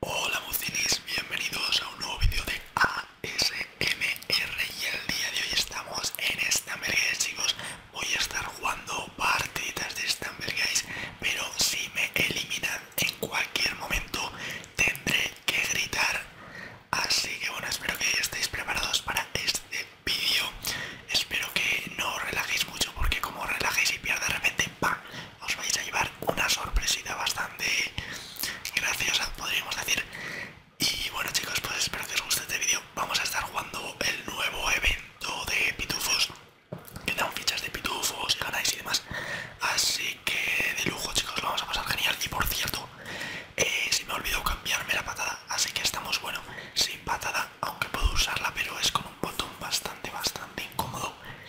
Hola bucinis, bienvenidos a un nuevo vídeo de ASMR y el día de hoy estamos en Stumble chicos Voy a estar jugando partiditas de Stumble pero si me eliminan en cualquier momento tendré que gritar Así que bueno, espero que estéis preparados para este vídeo Espero que no os relajéis mucho porque como relajéis y pierda de repente ¡pam! os vais a llevar una sorpresita bastante graciosa, podríamos decir. Y bueno chicos, pues espero que os guste este vídeo. Vamos a estar jugando el nuevo evento de pitufos, que dan fichas de pitufos, ganáis y demás. Así que de lujo chicos, lo vamos a pasar genial. Y por cierto, eh, se me olvidó cambiarme la patada, así que estamos, bueno, sin patada, aunque puedo usarla, pero es con un botón bastante, bastante incómodo.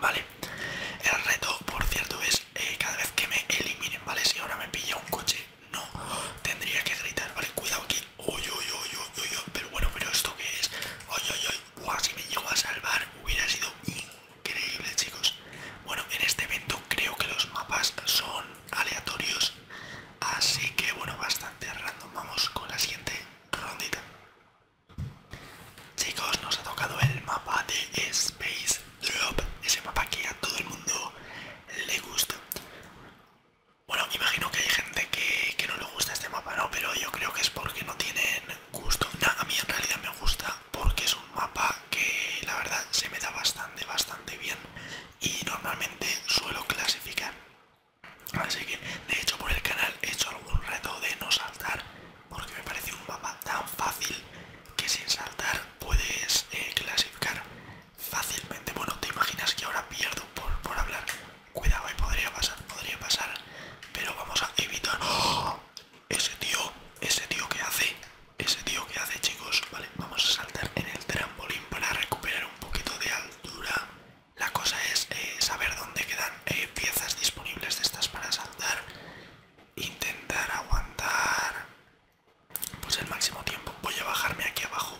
Vale, el reto, por cierto, es eh, cada vez que me eliminen, ¿vale? Si ahora me pilla un coche, no tendría que gritar, ¿vale? Cuidado aquí, uy, pero bueno, pero esto que es, uy, Buah, si me llegó a salvar hubiera sido increíble, chicos. Bueno, en este evento creo que los mapas son aleatorios, así que bueno, bastante random. Vamos con la siguiente rondita. Chicos, nos ha tocado el mapa de Space Drop, ese mapa que a todo el mundo le gusta. Bueno, imagino que hay gente que, no le gusta este mapa, ¿no? Pero yo creo que es porque no tienen gusto. a mí en realidad me gusta porque es un mapa que la verdad se me da bastante, bastante bien y normalmente suelo clasificar. Así que, de hecho, por el canal he hecho algún reto de no saltar, porque me parece un mapa tan fácil que sin saltar puedes eh, clasificar fácilmente. Bueno, te imaginas que ahora pierdo por, hablar. Cuidado, ahí eh, podría pasar, podría pasar, pero vamos a evitar. ¡Oh! Ese tío, ese tío que hace, ese tío que hace, chicos. Vale, vamos a saltar en el trampolín para recuperar un poquito de altura. La cosa es eh, saber dónde quedan eh, piezas disponibles de estas para saltar intentar aguantar pues el máximo tiempo. Voy a bajarme aquí abajo,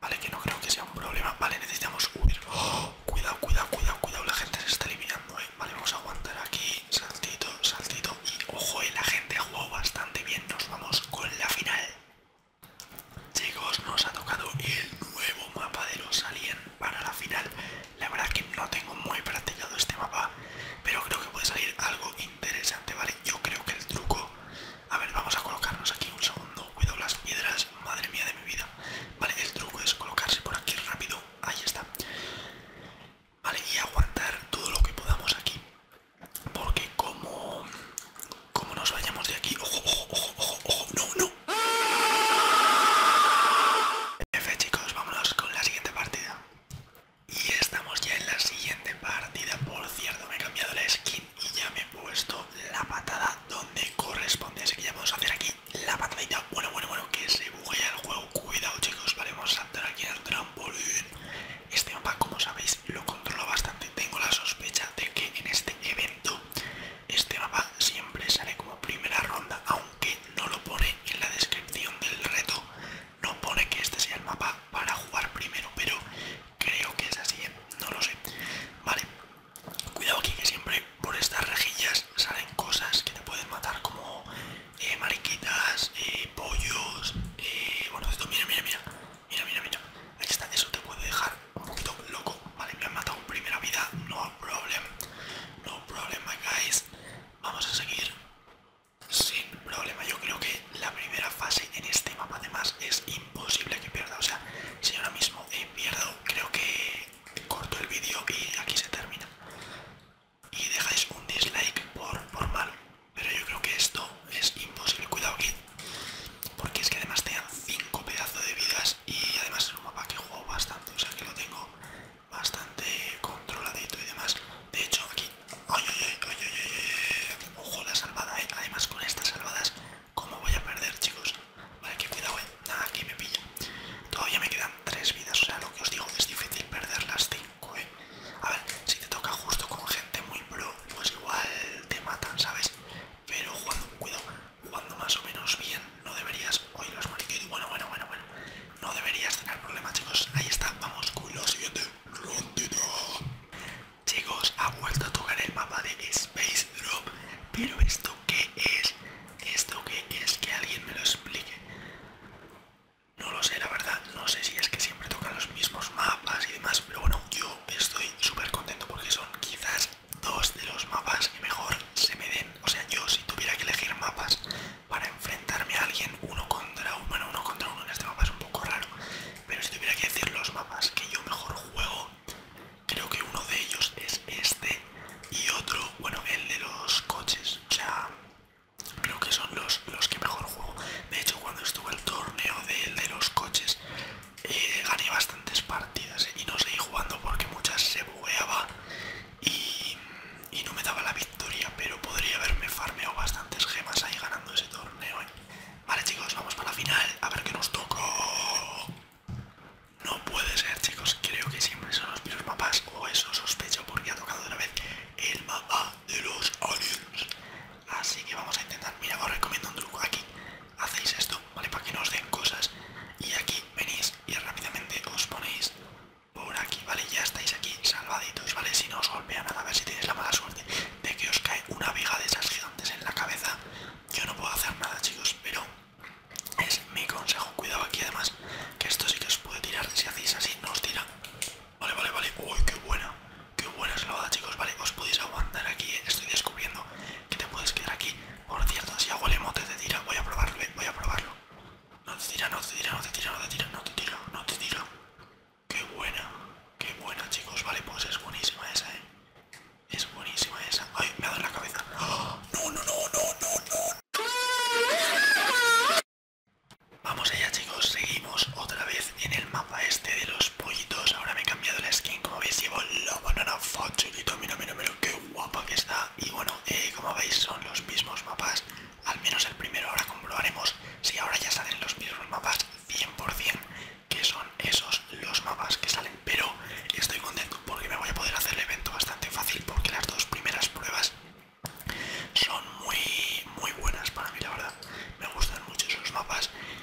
vale, que no creo que sea un problema. Vale, necesitamos huir. ¡Oh! cuidado, cuidado, cuidado, cuidado, la gente se está eliminando, eh. Vale, vamos a aguantar aquí, saltito, saltito. Y ojo, eh, la gente ha jugado bastante bien, nos vamos con la final. Chicos, nos ha tocado el nuevo mapa de los aliens para la final. La verdad que no tengo muy practicado este mapa, pero creo que puede salir algo interesante, ¿vale? Yo creo que el truco... A ver, vamos a colocarnos aquí un segundo. Cuidado las piedras, madre mía de mi vida. Vale, el truco es colocarse por aquí rápido. Ahí está. Vale, y aguantar todo lo que podamos aquí. Porque como... Como nos vayamos de aquí... ojo, ojo, ojo, ojo. No, no chicos, vámonos con la siguiente partida. Y estamos ya en la siguiente partida. Por cierto, me he cambiado la skin y ya me he puesto la patada donde corresponde. Así que ya a hacer aquí la patadita. Bueno, bueno, bueno, que se buguea el juego. Cuidado chicos, paremos a saltar aquí al trampolín. Este mapa, como sabéis, lo controlo bastante. Tengo la sospecha de que en este evento este mapa siempre sale como primera ronda, aunque no lo pone en la descripción del reto. No pone que este sea el mapa para jugar primero, pero creo que es así, ¿eh? no lo sé. Vale, cuidado aquí que siempre por estas rejillas salen cosas que te pueden matar, como eh, mariquitas, eh, pollos, bueno, esto mira, mira, mira, mira, mira, mira está, eso te puede dejar un loco, vale, me han matado en primera vida, no problem, no problema guys, vamos a seguir sin problema, yo creo que la primera fase en este mapa además es imposible que pierda, o sea, si ahora mismo he eh, pierdo, creo que corto el vídeo y aquí se termina. Y dejáis un dislike por, por mal, pero yo creo que esto es imposible, cuidado aquí porque es que además te dan 5 pedazos de vidas y además es un mapa que juego bastante, o sea que lo tengo bastante controladito y demás. De hecho, aquí. ay, ay, ay! ojo la salvada, eh. Además con estas salvadas, ¿cómo voy a perder, chicos? Vale, que cuidado, eh. Nada, aquí me pilla. Todavía me quedan 3 vidas, o sea, lo que os digo es difícil perder las 5, eh. A ver, si te toca justo con gente muy pro, pues igual te matan, ¿sabes? Pero jugando con cuidado, jugando más o menos bien, no deberías... los bueno, bueno, bueno, bueno. No deberías tener problema chicos. Ahí está, vamos con la siguiente ronda Chicos, ha vuelto a tocar el mapa de Space Drop. Pero esto qué es? Esto qué es? Que alguien me lo explique. No lo sé, la verdad. No sé si es que siempre tocan los mismos mapas y demás. Pero bueno, yo estoy súper contento porque son quizás dos de los mapas que mejor se me den. O sea, yo si tuviera que elegir mapas para enfrentarme a alguien uno contra uno, uno contra uno en este mapa es un poco raro, pero si tuviera que decir los mapas que yo mejor juego, creo que uno de ellos es este y otro, bueno, el de los coches. O sea, creo que son los, los que mejor juego. De hecho, cuando estuve el torneo de, de los coches, eh, gané bastantes partidas eh, y no seguí jugando porque muchas se bugueaba y, no me daba la victoria, pero podría haberme farmeado bastantes gemas ahí ganando ese torneo. Eh. Vale chicos, vamos para la final, a ver qué nos tocó. No puede ser chicos, creo que siempre son los primeros mapas, o eso sospecho porque ha tocado de una vez el mapa de los aliens. Así que vamos a intentar, mira, os recomiendo un truco aquí hacéis esto, ¿vale? Para que no os den cosas. Y aquí venís y rápidamente os ponéis por aquí, ¿vale? Ya estáis aquí salvaditos, ¿vale? Si no os golpea nada, a ver si tenéis la mala suerte de que os cae una viga de esas gigantes en la cabeza. Yo no puedo hacer nada, chicos, pero es mi consejo. Cuidado aquí, además, que esto sí que os puede tirar. Si hacéis así, no os tira. Vale, vale, vale. Uy, qué buena. Qué buena boda, chicos, vale, os podéis aguantar aquí, estoy descubriendo que te puedes quedar aquí. Por cierto, si hago el emote te tira, voy a probarlo, eh. voy a probarlo. No te tira, no te tira, no te tira, no te tira, no te tira, no te tira. Qué buena, qué buena, chicos, vale, pues es buenísima esa, eh. Es buenísima esa. Ay, me ha dado la cabeza. ¡Oh! No, no, no, no, no, no. Vamos allá, chicos, seguimos otra vez en el mapa este de los pollitos. Ahora me he cambiado la skin. Como veis, llevo la banana chiquito Mira, mira, mira, qué guapa que está. Y bueno, eh, como veis, son los mismos mapas. Al menos el primero. Ahora comprobaremos si ahora ya salen los mismos mapas 100%. Que son esos los mapas que salen. Pero estoy contento porque me voy a poder hacer el evento bastante fácil. Porque las dos primeras pruebas son muy, muy buenas para mí, la verdad. Me gustan mucho esos mapas.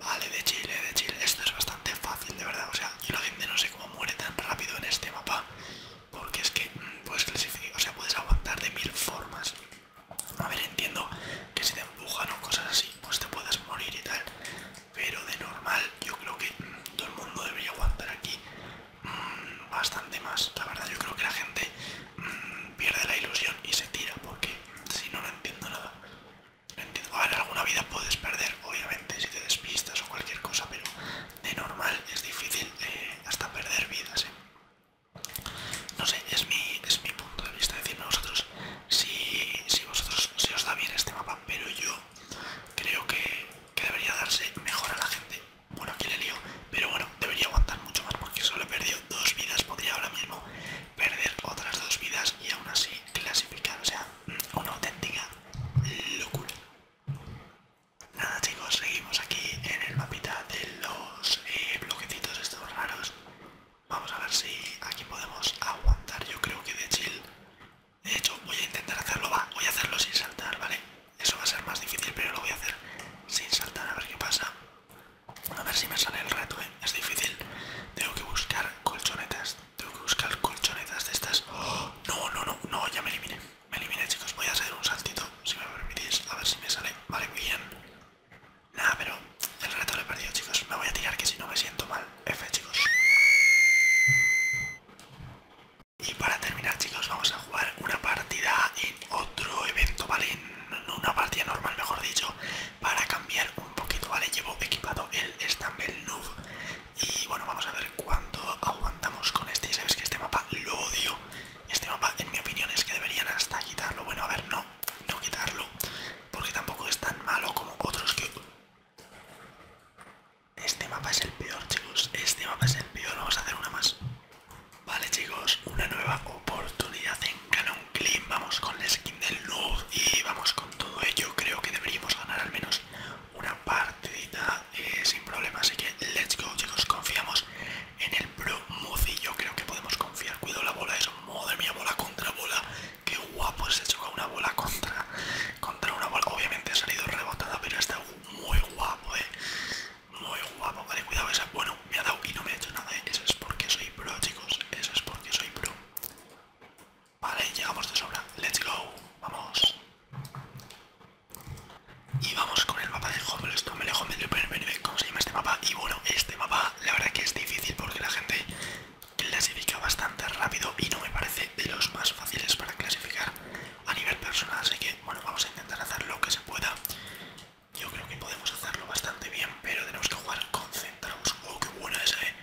Vale, de Chile, de Chile. Esto es bastante fácil, de verdad. O sea, yo la gente no sé cómo muere tan rápido en este mapa. Porque es que mm, puedes clasificar, o sea, puedes aguantar de mil formas. A ver, entiendo que si te empujan o cosas así, pues te puedes morir y tal. Pero de normal, yo creo que mm, todo el mundo debería aguantar aquí mm, bastante más. La verdad, yo creo que la gente pierde la ilusión y se tira, porque si no, no entiendo nada. Ah, Entiendo, alguna vida puedes perder, obviamente, si te despistas o cualquier cosa, pero de normal es difícil eh, hasta perder vidas. Eh. No sé, es mi, es mi punto de vista. a vosotros si, vosotros se os da bien este mapa, pero yo creo que, que debería darse mejor a la gente. Bueno, aquí le lío, pero bueno, debería aguantar mucho más porque solo he perdido dos vidas, podría ahora mismo perder otras dos vidas y aún así clasificar. O sea, una auténtica locura. Nada chicos, seguimos aquí en el mapita de los eh, bloquecitos estos raros. Vamos a ver si aquí podemos aguantar, yo creo que de chill. De hecho, voy a intentar hacerlo, va, voy a hacerlo sin saltar, ¿vale? Eso va a ser más difícil, pero lo voy a hacer sin saltar, a ver qué pasa. A ver si me sale el reto, ¿eh? es difícil. Tengo que buscar colchonetas. Tengo que buscar colchonetas de estas. ¡Oh! no, no, no, no, ya me eliminé. Me eliminé, chicos. Voy a hacer un saltito, si me permitís. A ver si me sale. Vale, bien. Nada, pero el reto lo he perdido, chicos. Me voy a tirar que si no me siento mal. F, chicos. Y para terminar, chicos, vamos a jugar una partida en otro evento, ¿vale? En una partida normal, mejor dicho, para cambiar un poquito, ¿vale? Llevo equipado el Stumble Noob y bueno, vamos a ver cuánto aguantamos con este. Y sabes que este mapa lo odio. Este mapa, en mi opinión, es que deberían hasta quitarlo. Bueno, a ver, no, no quitarlo, porque tampoco es tan malo como otros que... Este mapa es el peor, chicos. Este mapa es el peor. Vamos a hacer una más. Vale, chicos, una nueva oportunidad en Canon vamos con la skin del Noob y vamos con todo ello. Creo que deberíamos ganar al menos una partidita eh, sin problema. Así que let's go, chicos. Confiamos en el Pro Muzi. Yo creo que podemos confiar. Cuidado la bola, eso. Madre mía, bola contra bola. Qué guapo se choca una bola contra, contra una bola. Obviamente ha salido rebotada, pero está muy guapo, eh. Muy guapo, vale, cuidado esa. Bueno, me ha dado y no me ha hecho nada, eh. Eso es porque soy pro, chicos. Eso es porque soy pro. Vale, llegamos de sobra. Let's go. Vamos. Y vamos con el mapa de Esto me Home ¿Cómo se llama este mapa? Y bueno, este mapa la verdad que es difícil porque la gente clasifica bastante rápido y no me parece de los más fáciles para clasificar a nivel personal. Así que bueno, vamos a intentar hacer lo que se pueda. Yo creo que podemos hacerlo bastante bien pero tenemos que jugar concentrados. ¡Oh, qué buena esa, eh.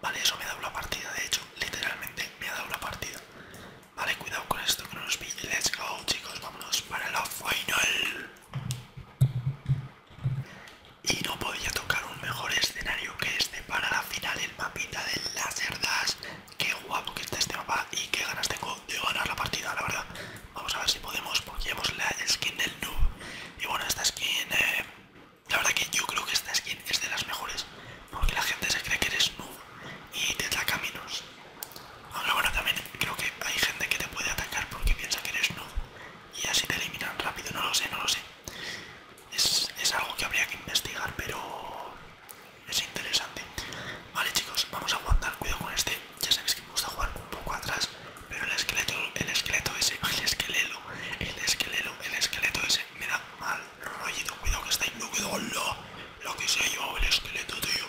Vale, eso me ha dado la partida, de hecho, literalmente me ha dado la partida. Vale, cuidado con esto que no nos pille. Let's go, chicos, vámonos para la final. Y no podía tocar un mejor escenario que este para la final, el mapita de las cerdas. Qué guapo que está este mapa y qué ganas tengo de ganar la partida, la verdad. Vamos a ver si podemos, porque hemos la skin del noob. Y bueno, esta skin, eh, la verdad que yo creo que esta skin es de las mejores, porque la gente se cree que eres noob y te ataca caminos. Aunque bueno, también creo que hay gente que te puede atacar porque piensa que eres noob y así te eliminan rápido, no lo sé, no lo sé. Es, es algo que habría que investigar, pero es interesante. Vale chicos, vamos a aguantar, cuidado con este ya sabéis que me gusta jugar un poco atrás, pero el esqueleto, el esqueleto ese, el esquelelo, el esquelelo, el esqueleto ese, me da mal rollo cuidado que está inducido, lo, que se ha llevado el esqueleto, tío,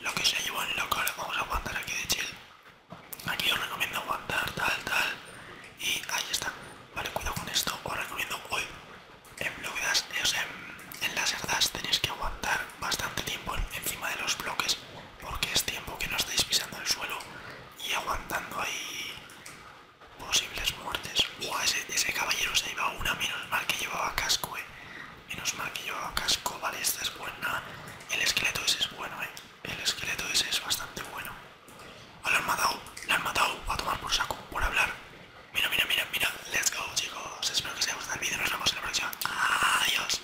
lo que se ha llevado en la ahora vamos a aguantar aquí de chill, aquí os recomiendo aguantar, tal, tal, y ahí está, vale, cuidado con esto, os recomiendo hoy, en bloquedas, o sea, en, en las herdas tenéis que aguantar bastante tiempo encima de los bloques porque es tiempo que no estáis pisando el suelo y aguantando ahí posibles muertes. ese, caballero se llevado una, menos mal que llevaba casco, eh. Menos mal que llevaba casco, vale, esta es buena. El esqueleto ese es bueno, eh. El esqueleto ese es bastante bueno. Ah, lo han matado, lo han matado, a tomar por saco, por hablar. Mira, mira, mira, mira. Let's go, chicos. Espero que os haya gustado el vídeo. Nos vemos en la próxima. Adiós.